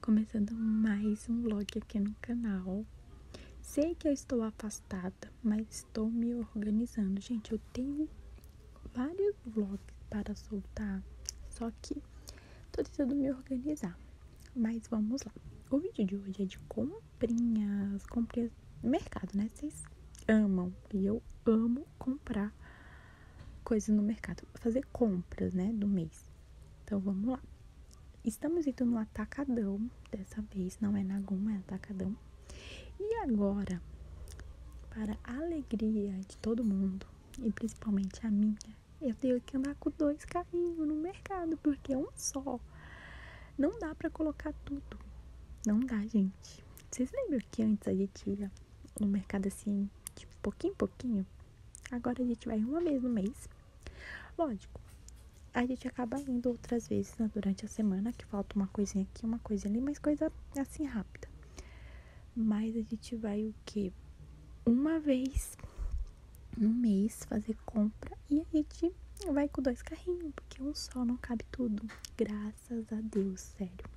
Começando mais um vlog aqui no canal. Sei que eu estou afastada, mas estou me organizando. Gente, eu tenho vários vlogs para soltar, só que tô tentando me organizar. Mas vamos lá. O vídeo de hoje é de comprinhas, comprinhas mercado, né? Vocês amam e eu amo comprar coisas no mercado, fazer compras, né, do mês. Então vamos lá. Estamos indo no atacadão, dessa vez não é na Guma, é atacadão. E agora, para a alegria de todo mundo, e principalmente a minha, eu tenho que andar com dois carrinhos no mercado, porque é um só não dá para colocar tudo. Não dá, gente. Vocês lembram que antes a gente ia no mercado assim, de pouquinho em pouquinho? Agora a gente vai uma vez no mês. Lógico, a gente acaba indo outras vezes né, durante a semana, que falta uma coisinha aqui, uma coisa ali, mas coisa assim rápida. Mas a gente vai o que Uma vez no mês fazer compra e a gente vai com dois carrinhos, porque um só não cabe tudo. Graças a Deus, sério.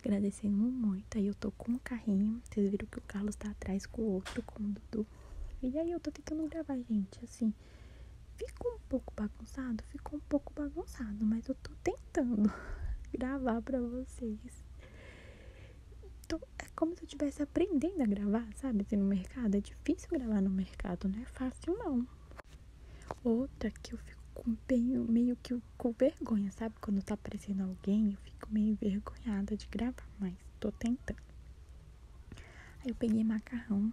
Agradecendo muito. Aí eu tô com um carrinho. Vocês viram que o Carlos tá atrás com o outro, com o Dudu. E aí eu tô tentando gravar, gente. Assim, ficou um pouco bagunçado? Ficou um pouco bagunçado, mas eu tô tentando gravar pra vocês. Tô, é como se eu estivesse aprendendo a gravar, sabe? Assim, no mercado. É difícil gravar no mercado, não é fácil não. Outra que eu fico com meio, meio que o com vergonha, sabe? Quando tá aparecendo alguém, eu fico meio envergonhada de gravar, mas tô tentando. Aí eu peguei macarrão.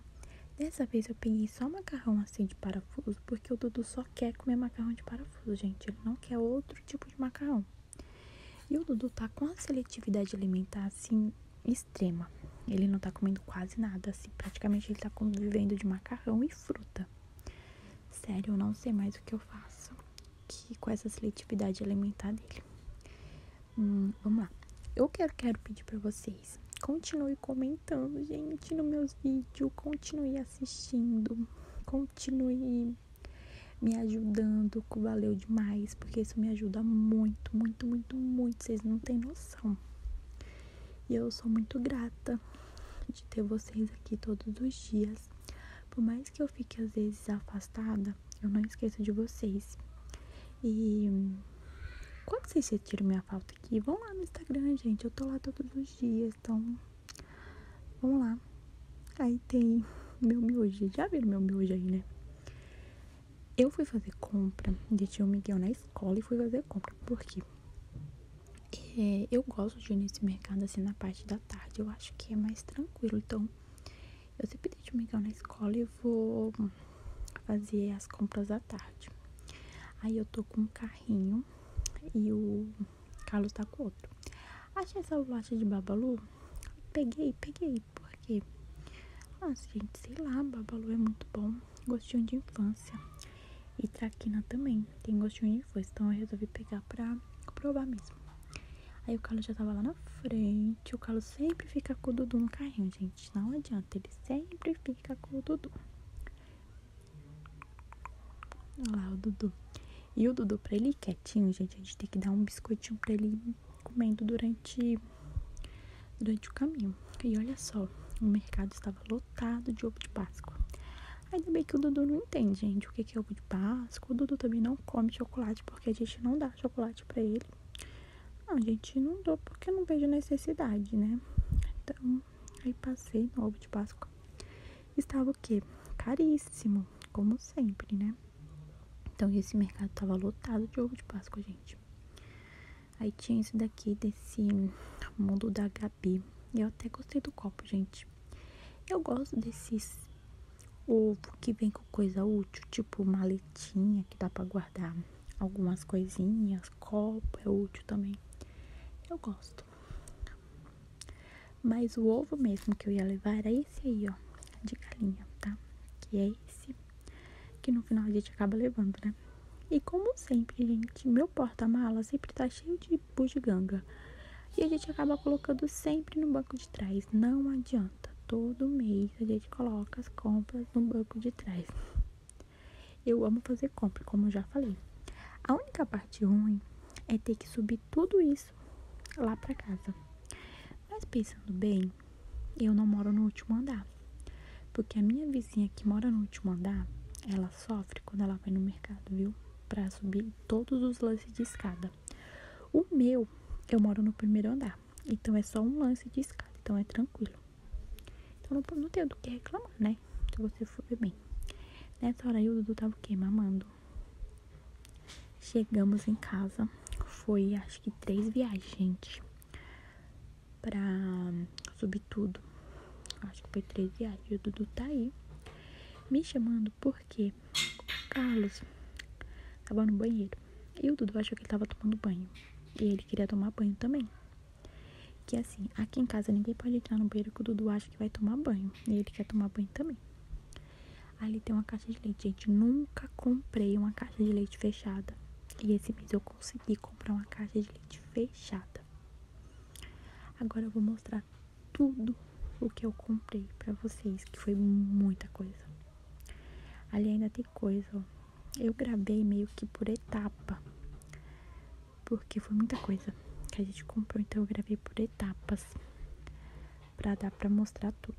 Dessa vez eu peguei só macarrão assim de parafuso, porque o Dudu só quer comer macarrão de parafuso, gente. Ele não quer outro tipo de macarrão. E o Dudu tá com a seletividade alimentar assim extrema. Ele não tá comendo quase nada, assim, praticamente ele tá vivendo de macarrão e fruta. Sério, eu não sei mais o que eu faço que, com essa seletividade alimentar dele. Hum, vamos lá. Eu quero, quero pedir para vocês. Continue comentando, gente, nos meus vídeos. Continue assistindo. Continue me ajudando. Valeu demais, porque isso me ajuda muito, muito, muito, muito. Vocês não têm noção. E eu sou muito grata de ter vocês aqui todos os dias. Por mais que eu fique às vezes afastada, eu não esqueço de vocês. E quando vocês sentiram minha falta aqui, vão lá no Instagram, gente. Eu tô lá todos os dias, então vamos lá. Aí tem meu miojo. Já viram meu miojo aí, né? Eu fui fazer compra, deixei o Miguel na escola e fui fazer compra. Por quê? É, eu gosto de ir nesse mercado assim na parte da tarde, eu acho que é mais tranquilo. Então, eu sempre deixo o Miguel na escola e vou fazer as compras da tarde. Aí eu tô com um carrinho e o Carlos tá com outro. Achei essa bolacha de Babalu, peguei, peguei, porque, nossa, gente, sei lá, Babalu é muito bom gostinho de infância. E traquina também tem gostinho de infância. Então eu resolvi pegar pra provar mesmo. Aí o Carlos já tava lá na frente. O Carlos sempre fica com o Dudu no carrinho, gente. Não adianta, ele sempre fica com o Dudu. Olha lá o Dudu. E o Dudu, pra ele ir quietinho, gente, a gente tem que dar um biscoitinho pra ele comendo durante, durante o caminho. E olha só, o mercado estava tava lotado de ovo de Páscoa. Ainda bem que o Dudu não entende, gente, o que é ovo de Páscoa. O Dudu também não come chocolate, porque a gente não dá chocolate para ele. Não, a gente não dá porque não vejo necessidade, né? Então, aí passei no ovo de Páscoa. Estava o que? Caríssimo, como sempre, né? Então, esse mercado tava lotado de ovo de Páscoa, gente. Aí tinha esse daqui desse mundo da Gabi. Eu até gostei do copo, gente. Eu gosto desses ovo que vem com coisa útil, tipo maletinha que dá para guardar algumas coisinhas, copo é útil também. Eu gosto. Mas o ovo mesmo que eu ia levar era esse aí, ó, de galinha, tá? Que é esse que no final a gente acaba levando, né? E como sempre, gente, meu porta-mala sempre tá cheio de bugiganga. E a gente acaba colocando sempre no banco de trás. Não adianta. Todo mês a gente coloca as compras no banco de trás. Eu amo fazer compra, como eu já falei. A única parte ruim é ter que subir tudo isso lá para casa. Mas pensando bem, eu não moro no último andar. Porque a minha vizinha que mora no último andar, ela sofre quando ela vai no mercado, viu? Pra subir todos os lances de escada. O meu, eu moro no primeiro andar. Então é só um lance de escada, então é tranquilo. Então não, não tenho do que reclamar, né? Se você for ver bem. Nessa hora aí o Dudu tava o quê? Mamando. Chegamos em casa. Foi acho que três viagens, gente pra subir tudo. Acho que foi três reais. E o Dudu tá aí me chamando porque Carlos tava no banheiro. E o Dudu achou que ele tava tomando banho. E ele queria tomar banho também. Que assim, aqui em casa ninguém pode entrar no banheiro que o Dudu acha que vai tomar banho. E ele quer tomar banho também. Ali tem uma caixa de leite. Gente, nunca comprei uma caixa de leite fechada. E esse mês eu consegui comprar uma caixa de leite fechada. Agora eu vou mostrar tudo o que eu comprei para vocês, que foi muita coisa. Ali ainda tem coisa, ó. Eu gravei meio que por etapa, porque foi muita coisa que a gente comprou, então eu gravei por etapas para dar para mostrar tudo.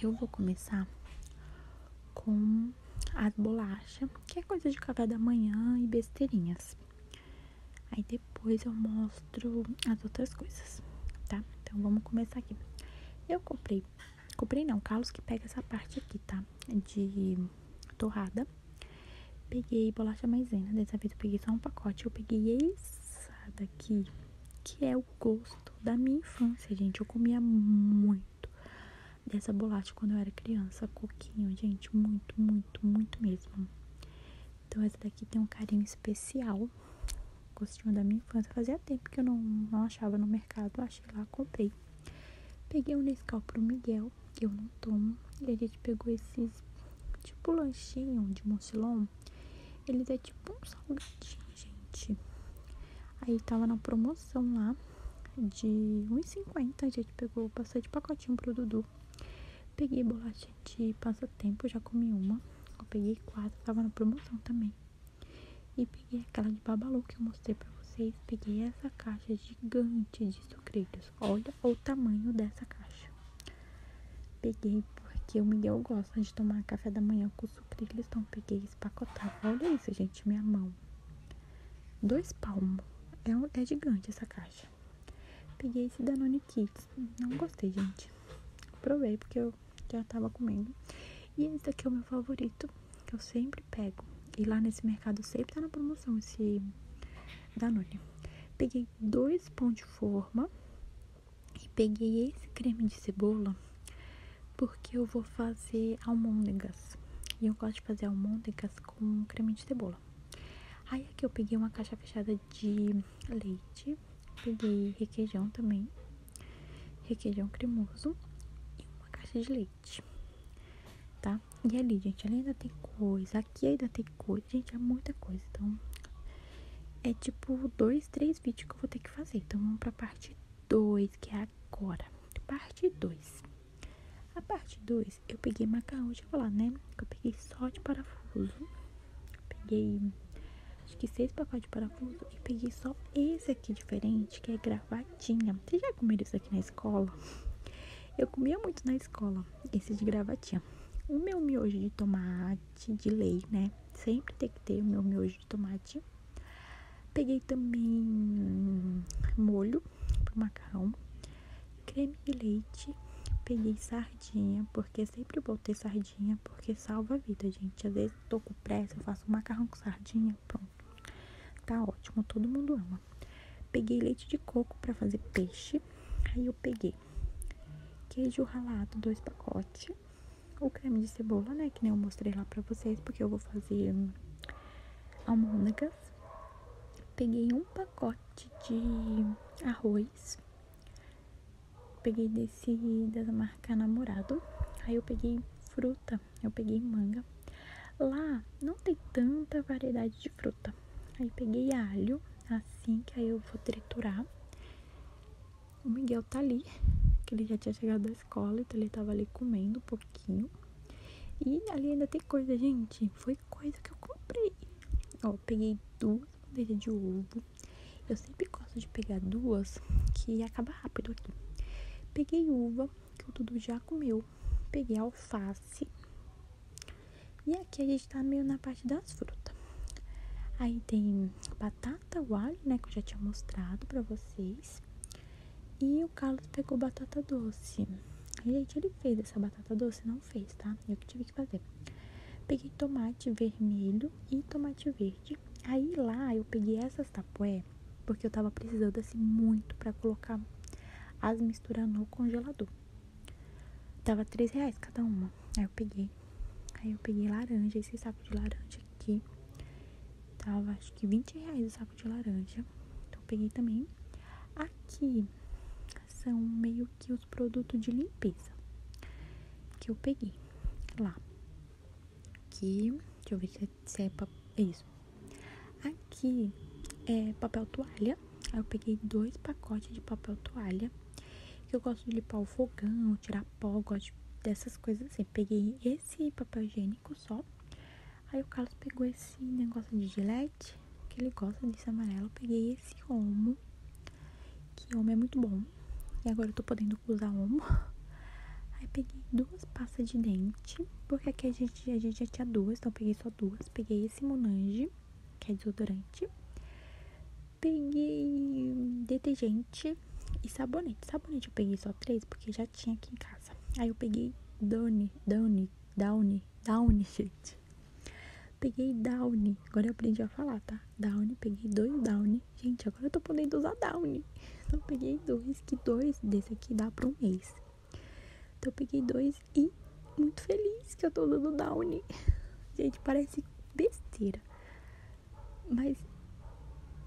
Eu vou começar com as bolachas, que é coisa de café da manhã e besteirinhas. Aí depois eu mostro as outras coisas, tá? Então vamos começar aqui. Eu comprei, comprei não, Carlos que pega essa parte aqui, tá? De torrada. Peguei bolacha maisena, dessa vez eu peguei só um pacote, eu peguei essa daqui, que é o gosto da minha infância, gente. Eu comia muito dessa bolacha quando eu era criança, coquinho, gente, muito, muito, muito mesmo. Então essa daqui tem um carinho especial, gostinho da minha infância. Fazia tempo que eu não, não achava no mercado, achei lá, comprei. Peguei um Nescau pro Miguel, que eu não tomo, e a gente pegou esses, tipo lanchinho de Moncilon. Eles é tipo um salgadinho gente. Aí tava na promoção lá de 1,50. A gente pegou bastante pacotinho pro Dudu. Peguei bolacha de passatempo, já comi uma. Eu peguei quatro, tava na promoção também. E peguei aquela de babalu que eu mostrei pra vocês. Peguei essa caixa gigante de sucrilhos. Olha o tamanho dessa caixa. Peguei porque o Miguel gosta de tomar café da manhã com sucrilhos. Então peguei espacotava. Olha isso, gente, minha mão. Dois palmos. É, um, é gigante essa caixa. Peguei esse Danone Kids. Não gostei, gente. Provei porque eu já tava comendo. E esse daqui é o meu favorito, que eu sempre pego. E lá nesse mercado sempre tá na promoção esse da Danone. Peguei dois pão de forma e peguei esse creme de cebola porque eu vou fazer almôndegas. E eu gosto de fazer almôndegas com creme de cebola. Aí aqui eu peguei uma caixa fechada de leite, peguei requeijão também, requeijão cremoso e uma caixa de leite, tá? E ali, gente, ali ainda tem coisa, aqui ainda tem coisa, gente, é muita coisa, então é tipo dois, três vídeos que eu vou ter fazer. Então vamos para a parte 2, que é agora. Parte 2. A parte 2, eu peguei macarrão de chocolate, né? Eu peguei só de parafuso. peguei acho que seis pacotes de parafuso e peguei só esse aqui diferente, que é gravatinha. você já comeram isso aqui na escola? Eu comia muito na escola, esse de gravatinha. O meu miojo de tomate, de leite né? Sempre tem que ter o meu miojo tomate. Peguei também molho para macarrão, creme de leite, peguei sardinha, porque sempre bom ter sardinha, porque salva a vida, gente. Às vezes tô com pressa, faço macarrão com sardinha, pronto. Tá ótimo, todo mundo ama. Peguei leite de coco para fazer peixe. Aí eu peguei queijo ralado, dois pacotes o creme de cebola, né? Que nem eu mostrei lá pra vocês, porque eu vou fazer almôndegas. Peguei um pacote de arroz. Peguei desse da marca Namorado. Aí eu peguei fruta, eu peguei manga. Lá não tem tanta variedade de fruta. Aí peguei alho, assim, que aí eu vou triturar. O Miguel tá ali, que ele já tinha chegado da escola, então ele tava ali comendo um pouquinho. E ali ainda tem coisa, gente. Foi coisa que eu comprei. Ó, peguei duas bandejas de ovo. Eu sempre gosto de pegar duas, que acaba rápido aqui. Peguei uva, que o Dudu já comeu. Peguei alface. E aqui a gente gente tá meio na parte das frutas. Aí tem batata, o alho, né? Que eu já tinha mostrado pra vocês. E o Carlos pegou batata doce. Aí, gente, ele fez essa batata doce, não fez, tá? Eu que tive que fazer. Peguei tomate vermelho e tomate verde. Aí lá eu peguei essas tapoé, porque eu tava precisando assim muito para colocar as misturas no congelador. Tava 3 reais cada uma. Aí eu peguei Aí eu peguei laranja, esse saco de laranja aqui. Tava acho que 20 reais o saco de laranja. Então peguei também. Aqui são meio que os produtos de limpeza que eu peguei lá. Aqui, deixa eu ver se é, se é isso. Aqui é papel toalha. Aí eu peguei dois pacotes de papel toalha que Eu gosto de limpar o fogão, tirar pó, gosto dessas coisas assim. Peguei esse papel higiênico só. Aí o Carlos pegou esse negócio de gilete, que ele gosta desse amarelo. peguei esse homo, que homo é muito bom. E agora eu tô podendo usar homo. Aí peguei duas pastas de dente, porque aqui a gente, a gente já tinha duas, então eu peguei só duas. Peguei esse Monange, que é desodorante peguei detergente e sabonete. Sabonete eu peguei só três porque já tinha aqui em casa. Aí eu peguei Downy, Downy, Downy, Downy, gente. Peguei Downy. Agora eu aprendi a falar, tá? Downy, peguei dois Downy. Gente, agora eu tô podendo usar Downy. Então eu peguei dois, que dois desse aqui dá pra um mês. Então eu peguei dois e muito feliz que eu tô dando Downy. Gente, parece besteira, mas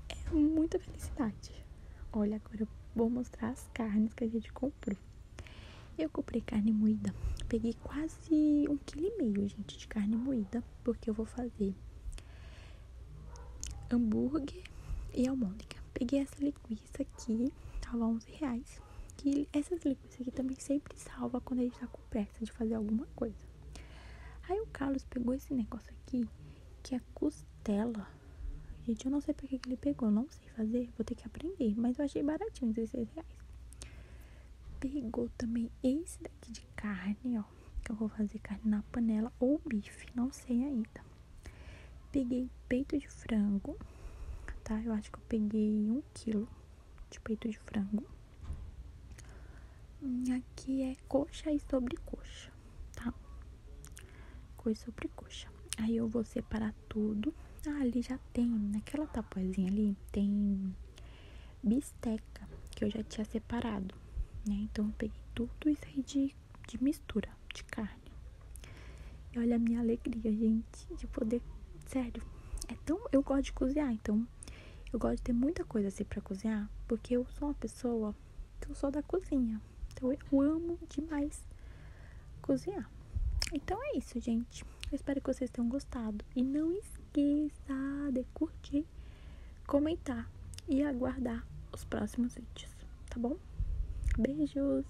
é muita felicidade. Olha, agora eu vou mostrar as carnes que a gente comprou. Eu comprei carne moída, peguei quase um quilo e meio, gente, de carne moída, porque eu vou fazer hambúrguer e almôndega. Peguei essa linguiça aqui, tava 11 reais. Que essas isso aqui também sempre salva quando a gente tá com pressa de fazer alguma coisa. Aí o Carlos pegou esse negócio aqui, que é costela. Gente, eu não sei porque ele pegou, não sei fazer, vou ter que aprender. Mas eu achei baratinho, 16 reais. Pegou também esse daqui de carne, ó. Que eu vou fazer carne na panela ou bife, não sei ainda. Peguei peito de frango, tá? Eu acho que eu peguei um quilo de peito de frango. Aqui é coxa e sobre coxa, tá? Coxa sobre coxa. Aí eu vou separar tudo. Ah, ali já tem, naquela tapazinha ali, tem bisteca, que eu já tinha separado, né? Então eu peguei tudo isso aí de mistura, de carne. E olha a minha alegria, gente, de poder. Sério, é tão. Eu gosto de cozinhar, então eu gosto de ter muita coisa assim pra cozinhar, porque eu sou uma pessoa que eu sou da cozinha. Então eu amo demais cozinhar. Então é isso, gente. Eu espero que vocês tenham gostado. E não esqueça de curtir, comentar e aguardar os próximos vídeos, tá bom? Beijos!